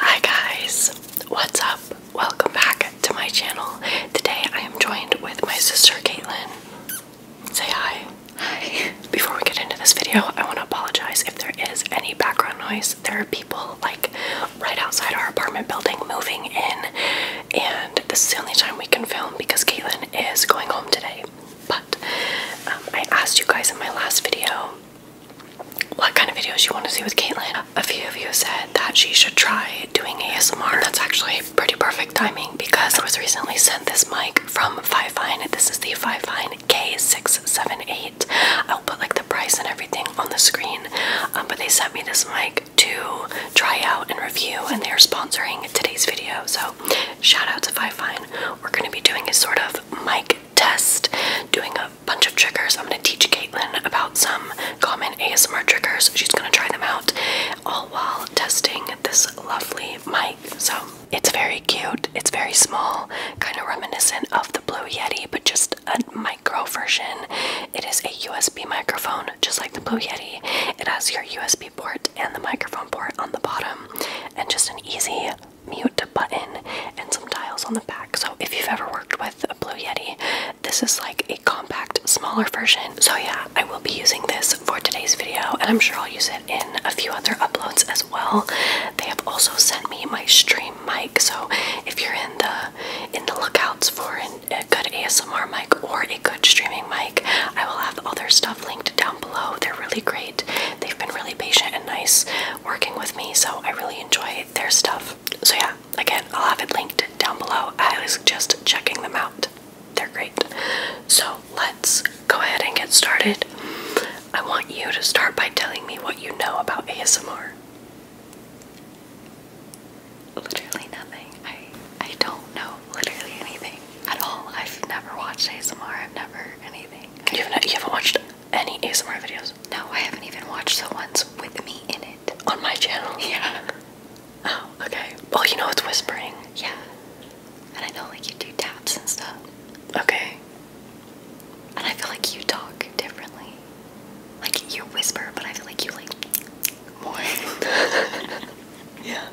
Hi guys, what's up? Welcome back to my channel. Today I am joined with my sister Caitlin. Say hi. Hi. Before we get into this video, I want to apologize if there is any background noise. There are people like right outside our apartment building moving in, and this is the only time we can film because Caitlin is going home today. But um, I asked you guys in my last video what kind of videos you want to see with Caitlin. A few of you said that she should try doing ASMR. And that's actually pretty perfect timing because I was recently sent this mic from Fifine. This is the Fifine K678. I'll put like the price and everything on the screen. Um, but they sent me this mic to try out and review and they're sponsoring today's video. So shout out to Fifine. We're going to be doing a sort of mic test doing a bunch of triggers. I'm gonna teach Caitlin about some common ASMR triggers. She's gonna try them out all while testing this lovely mic. So it's very cute, it's very small, kind of reminiscent of the Blue Yeti, but just a micro version. It is a USB microphone, just like the Blue Yeti. It has your USB port and the microphone port on the bottom, and just an easy mute button and some tiles on the back. So if you've ever worked with a Blue Yeti, this is like a compact, smaller version. So yeah, I will be using this for today's video and I'm sure I'll use it in a few other uploads as well. They have also sent me my stream mic. So if you're in the in the lookouts for a good ASMR mic or a good streaming mic, I will have all their stuff linked down below. They're really great. They've been really patient and nice working with me, so I really enjoy their stuff. So, yeah, again, I'll have it linked down below. I highly suggest checking them out, they're great. So, let's go ahead and get started. I want you to start by telling me what you know about ASMR. Literally nothing. I I don't know literally anything at all. I've never watched ASMR. I've never anything. You've not, you have watched any ASMR videos? No, I haven't even watched the ones with me in it. On my channel? Yeah. Oh, okay. Well, you know it's whispering. Yeah. And I know like you do taps and stuff. Okay. And I feel like you talk differently. Like you whisper, but I feel like you like more. yeah.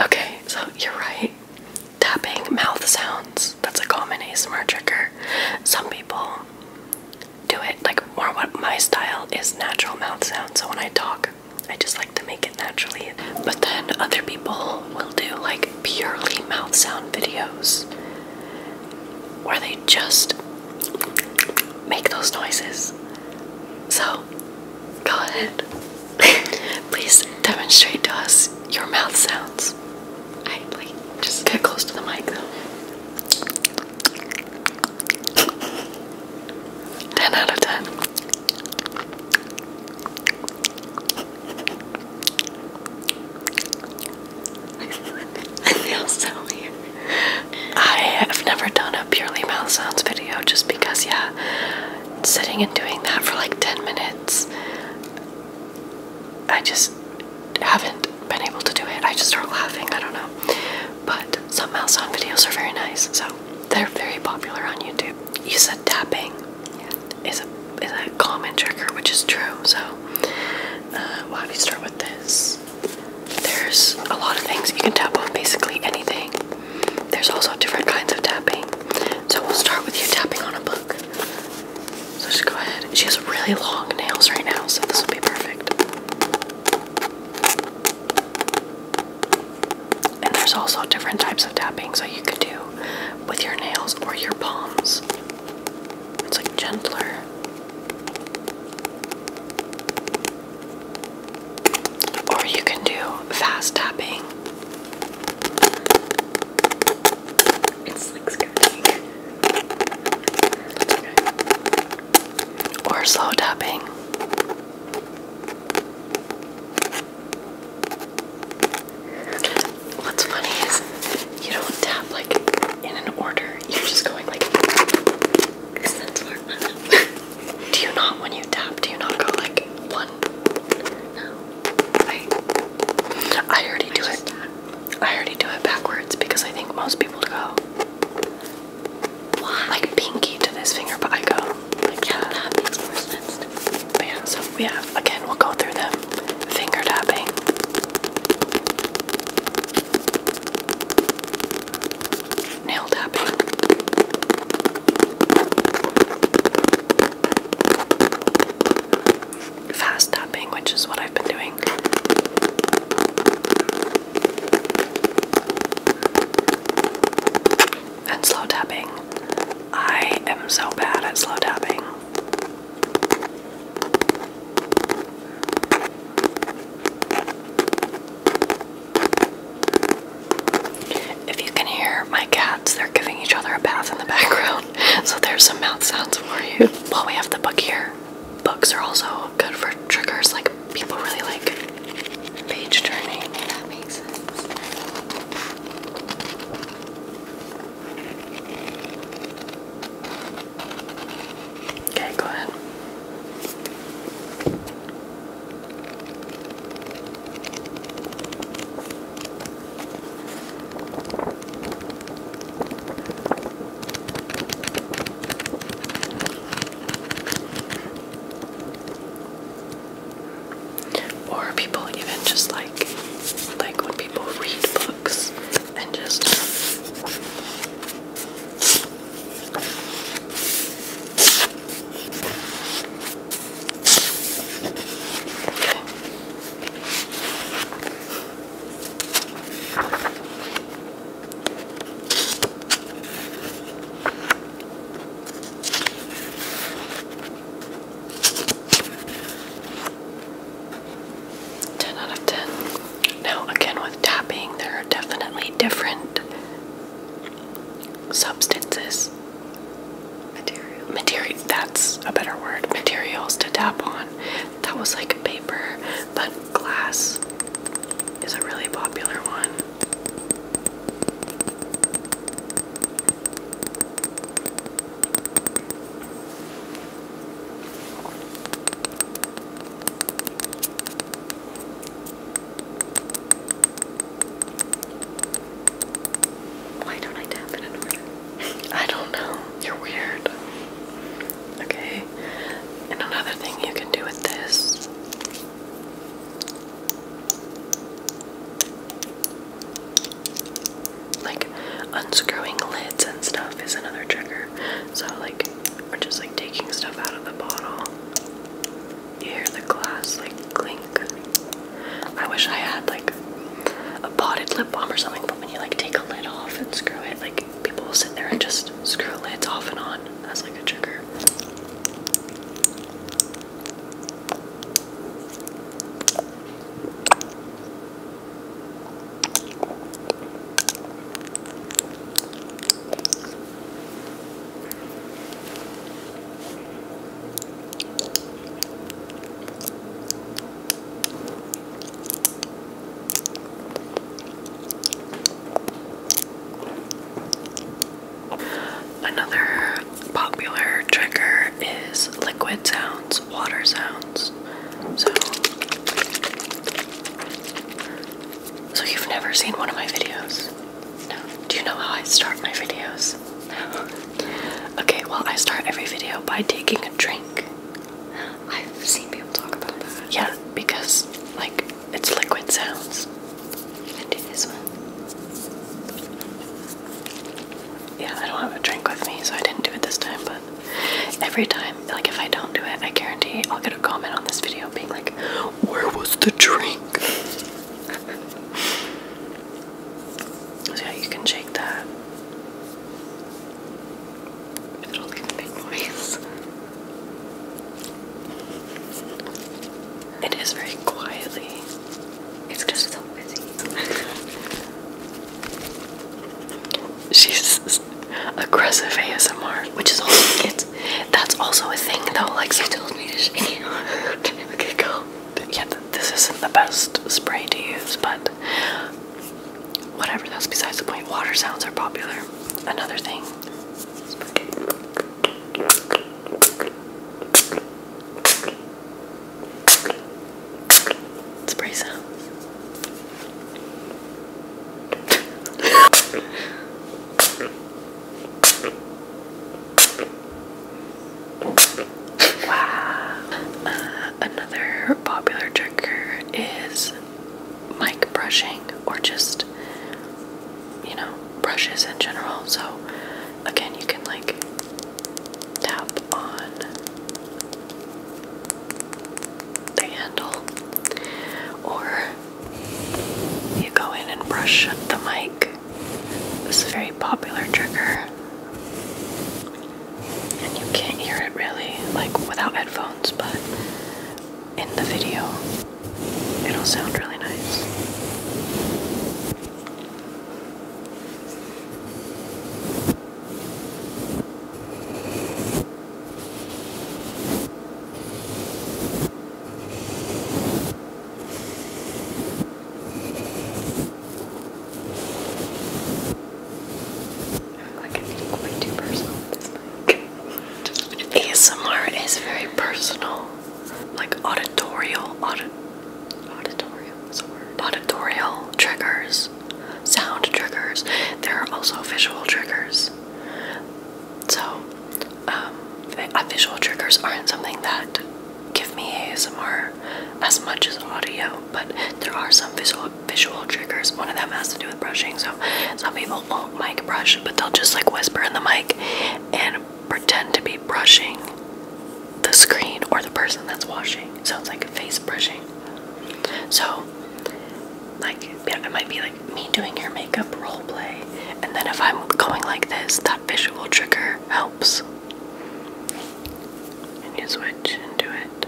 Okay, so you're right tapping mouth sounds. That's a common ASMR trigger. Some people do it like more what my style is natural mouth sounds. So when I talk, I just like to make it naturally. But then other people will do like purely mouth sound videos where they just make those noises. So go ahead. Please demonstrate to us your mouth sounds. I like just get close to the mic though. ten out of ten. I feel so weird. I have never done a purely mouth sounds video just because yeah sitting and doing that for like 10 minutes, I just haven't been able to do it. I just start laughing, I don't know. But some mouse on videos are very nice, so they're very popular on YouTube. You said tapping is a, common trigger, which is true, so why don't we start with this? There's a lot of things you can tap on, basically anything. There's also different kinds of tapping. So we'll start with you tapping on a book. So just go ahead. She has really long nails right now, so this will be perfect. And there's also different types of tapping, so you could do with your nails or your palms. It's like gentler. Or you can do fast tapping or slow tapping. What's funny is you don't tap like in an order. You're just going like do you not when you tap? Do you not go like one? No. Wait. I already do it. I already do it backwards because I think most people go Why? like pinky to this finger, but I go like yeah, that. Uh, that makes more sense. But yeah, so yeah, again, we'll go through them. Finger tapping. Nail tapping fast tapping, which is what I've been doing. And slow tapping. I am so bad at slow tapping. If you can hear my cats, they're giving each other a bath in the background. So there's some mouth sounds for you. While we have the book here, books are also good for triggers. Like people really like page turning. Okay, go ahead. Or people even just like like when people read books and just 10 out of 10. Now, again, with tapping, they are definitely different substances material that's a better word materials to tap on that was like paper but glass is a really popular one why don't I tap it in I don't know. You're weird. Okay. And another thing you can do with this like unscrewing lids and stuff is another trigger. So like we're just like taking stuff out of the bottle. You hear the glass like clink. I wish I had like a potted lip balm or something, but when you like take a lid off and screw it, like people will sit there and just screw lids off and on That's like a trigger. Another popular trigger is liquid sounds, water sounds. So, so you've never seen one of my videos. Do you know how I start my videos? okay, well, I start every video by taking a drink. I've seen people talk about that. Yeah, because, like, it's liquid sounds. I do this one. Yeah, I don't have a drink with me, so I didn't do it this time, but every time, like, if I don't do it, I guarantee I'll get a comment on this video being like, Where was the drink? yeah, you can shake that. It'll leave a big noise. It is very quietly. It's just so busy. She's aggressive ASMR, which is all it's. That's also a thing though. Like she told me to shake okay, go. Yeah, this isn't the best spray to use, but whatever. That's besides the point. Water sounds are popular. Another thing. Spray sounds. Wow. another popular trigger is mic brushing or just, you know, brushes in general. So, again, you can like tap on the handle or you go in and brush the mic. This is a very popular trigger. And you can't hear it really, like without headphones, but in the video, it'll sound really nice. Like it's way too personal this mic. ASMR is very personal. Like auditorial, audit, auditorial, is a word. Auditorial triggers, sound triggers. There are also visual triggers. So, visual um, triggers aren't something that give me ASMR as much as audio, but there are some visual visual triggers. One of them has to do with brushing. So, some people won't mic brush, but they'll just like whisper in the mic and pretend to be brushing the screen or the person that's washing. Sounds like face brushing. So, like yeah, it might be like me doing your makeup role play, and then if I'm going like this, that visual trigger helps. And you switch into it.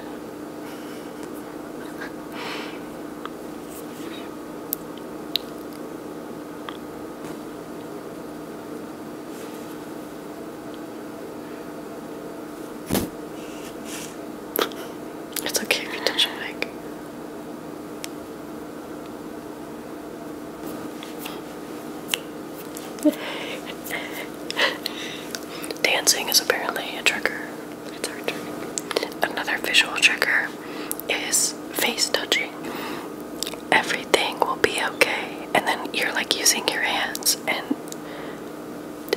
It's okay if you touch your mic. Dancing is apparently a trigger. Another visual trigger is face touching. Everything will be okay. And then you're like using your hands and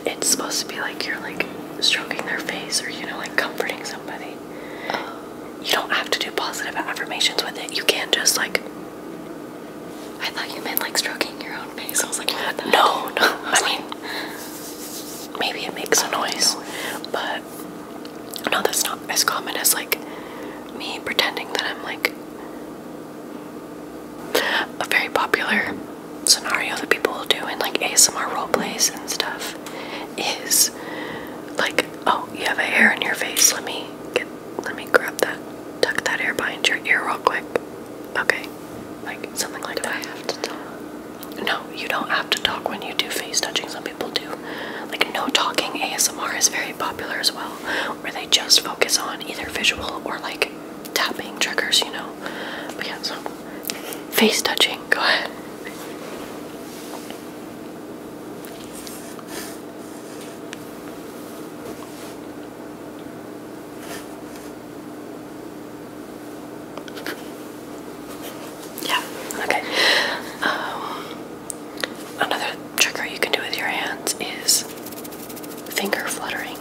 it's supposed to be like you're like stroking their face or you know like comforting somebody. Oh. You don't have to do positive affirmations with it. You can just like. I thought you meant like stroking your own face. I was like, what the no, heck? no. I, I mean, like, maybe it makes a noise, know. but no, that's not as common as like me pretending that I'm like a very popular scenario that people will do in like ASMR roleplays and stuff is like, oh, you have a hair in your face. Let me get, let me grab that, tuck that hair behind your ear real quick. Okay, like something like that. I have to talk? No, you don't have to talk when you do face touching. Some people do. Like no talking ASMR is very popular as well, where they just focus on either visual or like tapping triggers, you know. But yeah, so Face touching, go ahead. Yeah, okay. Um, another trigger you can do with your hands is finger fluttering.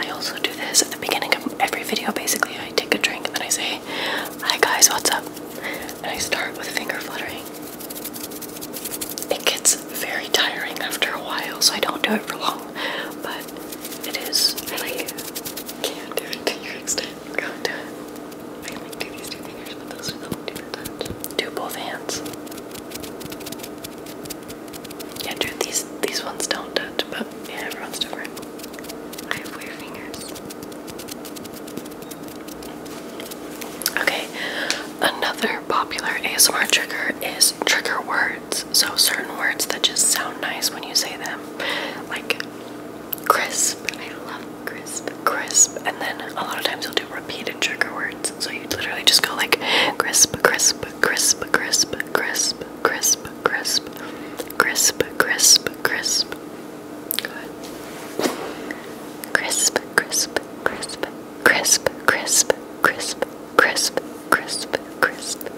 I also do this at the beginning of every video. Basically, I take a drink and then I say, Hi guys, what's up? And I start with finger fluttering. It gets very tiring after a while, so I don't do it for long, but it is. really can't do it to your extent. Go do it. I can like do these two fingers, but those are the different Do both hands. Yeah, dude, these these ones don't touch, but and everyone's different. I have weird fingers. Okay, another popular ASMR trigger is trigger words. So, certain words that just sound nice when you say them, like crisp. I love crisp. Crisp. And then a lot of times you'll do repeated trigger words. So, you literally just go like crisp, crisp, crisp, crisp, crisp, crisp, crisp, crisp, crisp, crisp. Crisp, crisp, crisp, crisp, crisp, crisp, crisp, crisp, crisp.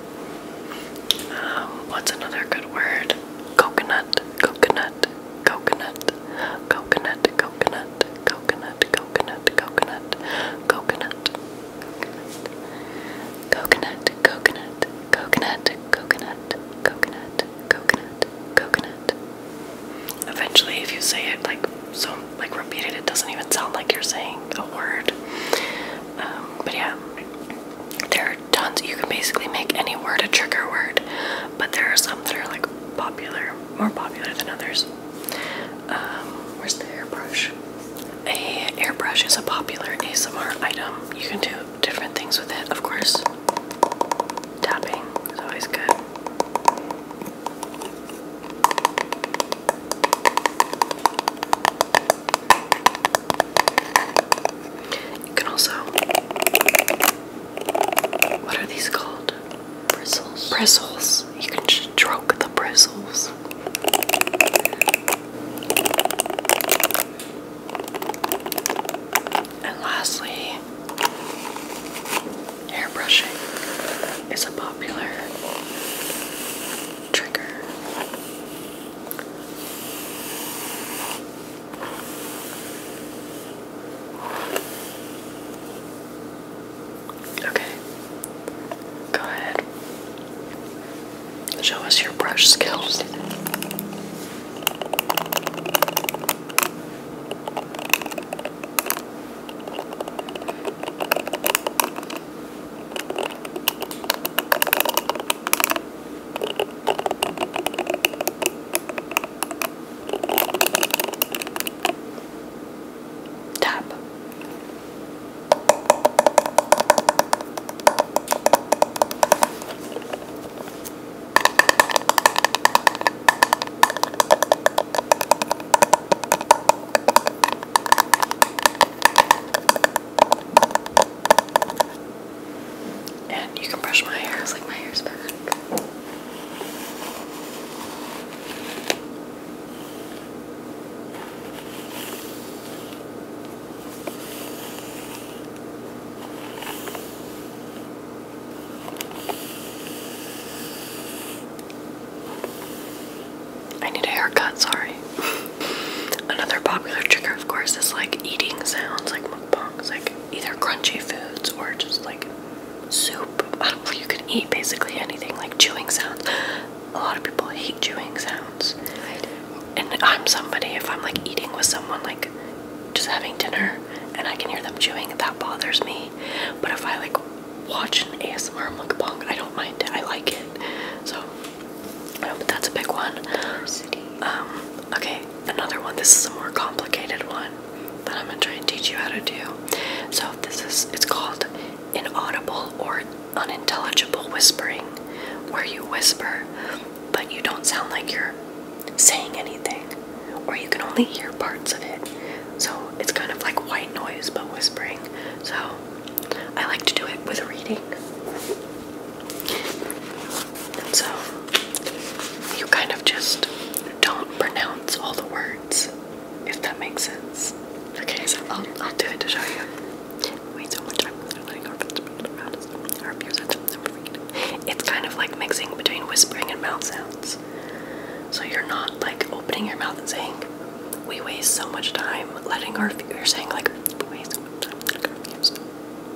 Um, what's another good word? coconut, coconut, coconut, coconut, coconut, coconut, coconut, coconut, coconut, Coconut, coconut, coconut, coconut, coconut, coconut, coconut. Eventually, if you say it like so, like repeated, it, doesn't even sound like you're saying a word. Um, but yeah, there are tons. You can basically make any word a trigger word, but there are some that are like popular, more popular than others. Um, where's the airbrush? a airbrush is a popular ASMR item. You can do different things with it, of course. Tapping is always good. You can also. What are these called? Bristles. Bristles. You can stroke the bristles. And lastly, hair is a popular trigger. Okay, Go ahead. Show us your brush skills. Tap. And you can brush my hair, it's like my hair's back. I need a haircut, sorry. Another popular trigger, of course, is like eating sounds, like mukbangs, like either crunchy foods or just like soup. you can eat basically anything, like chewing sounds a lot of people hate chewing sounds. I do. And I'm somebody, if I'm like eating with someone, like just having dinner, and I can hear them chewing, that bothers me. But if I like watch an ASMR mukbang, I don't mind it. I like it. So, yeah, um, but that's a big one. Um, okay, another one. This is a more complicated one that I'm gonna try and teach you how to do. So this is, it's called inaudible or unintelligible whispering, where you whisper, but you don't sound like you're saying anything, or you can only hear parts of it. So it's kind of like white noise but whispering. So I like to do it with reading. And so you kind of just don't pronounce all the words, if that makes sense. Okay, so I'll, I'll do it to show you. Wait, so much time letting our around us. Our ears It's kind of like mixing between whispering and mouth sounds. So you're not like opening your mouth and saying, we waste so much time letting our you're saying like we waste so much time letting our views.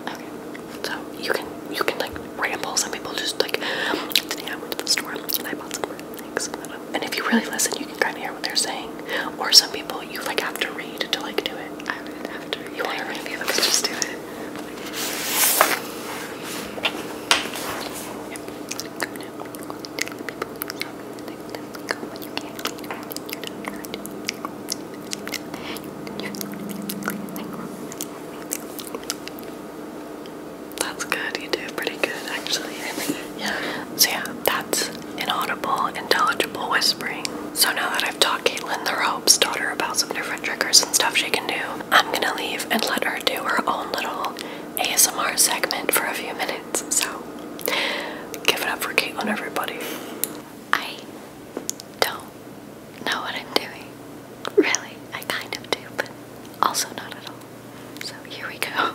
Okay. So you can you can like ramble. Some people just like today I went to the store and I bought some things and if you really listen, you can kind of hear what they're saying. Or some people, you like have to read to like do it. I would have to You want to read? Okay, just do it. That's good. You do pretty good, actually. Yeah. So yeah, that's inaudible, intelligible whispering. So now that I've taught Caitlin the ropes, taught her about some different triggers and stuff she can do, I'm gonna leave and let her do her own little ASMR segment for a few minutes. So give it up for Caitlin, everybody. I don't know what I'm doing. Really, I kind of do, but also not at all. So here we go.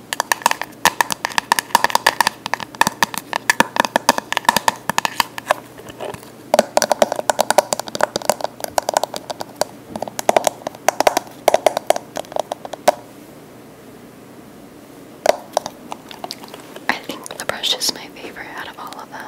I think the brush is my favorite out of all of them.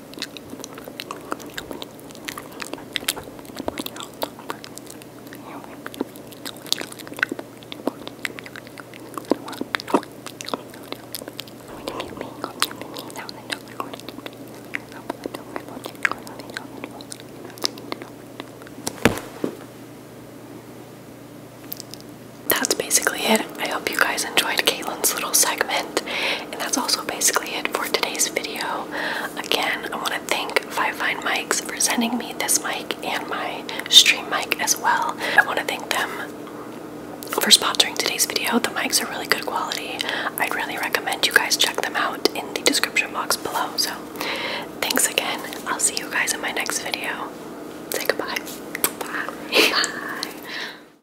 That's basically it. I hope you guys enjoyed Caitlin's little segment, and that's also basically it for today's video. Again, I want to thank Five Fine Mics for sending me this mic and my stream mic as well. I want to thank them for sponsoring today's video. The mics are really good quality. I'd really recommend you guys check them out in the description box below. So, thanks again. I'll see you guys in my next video. Say goodbye. Bye. Bye.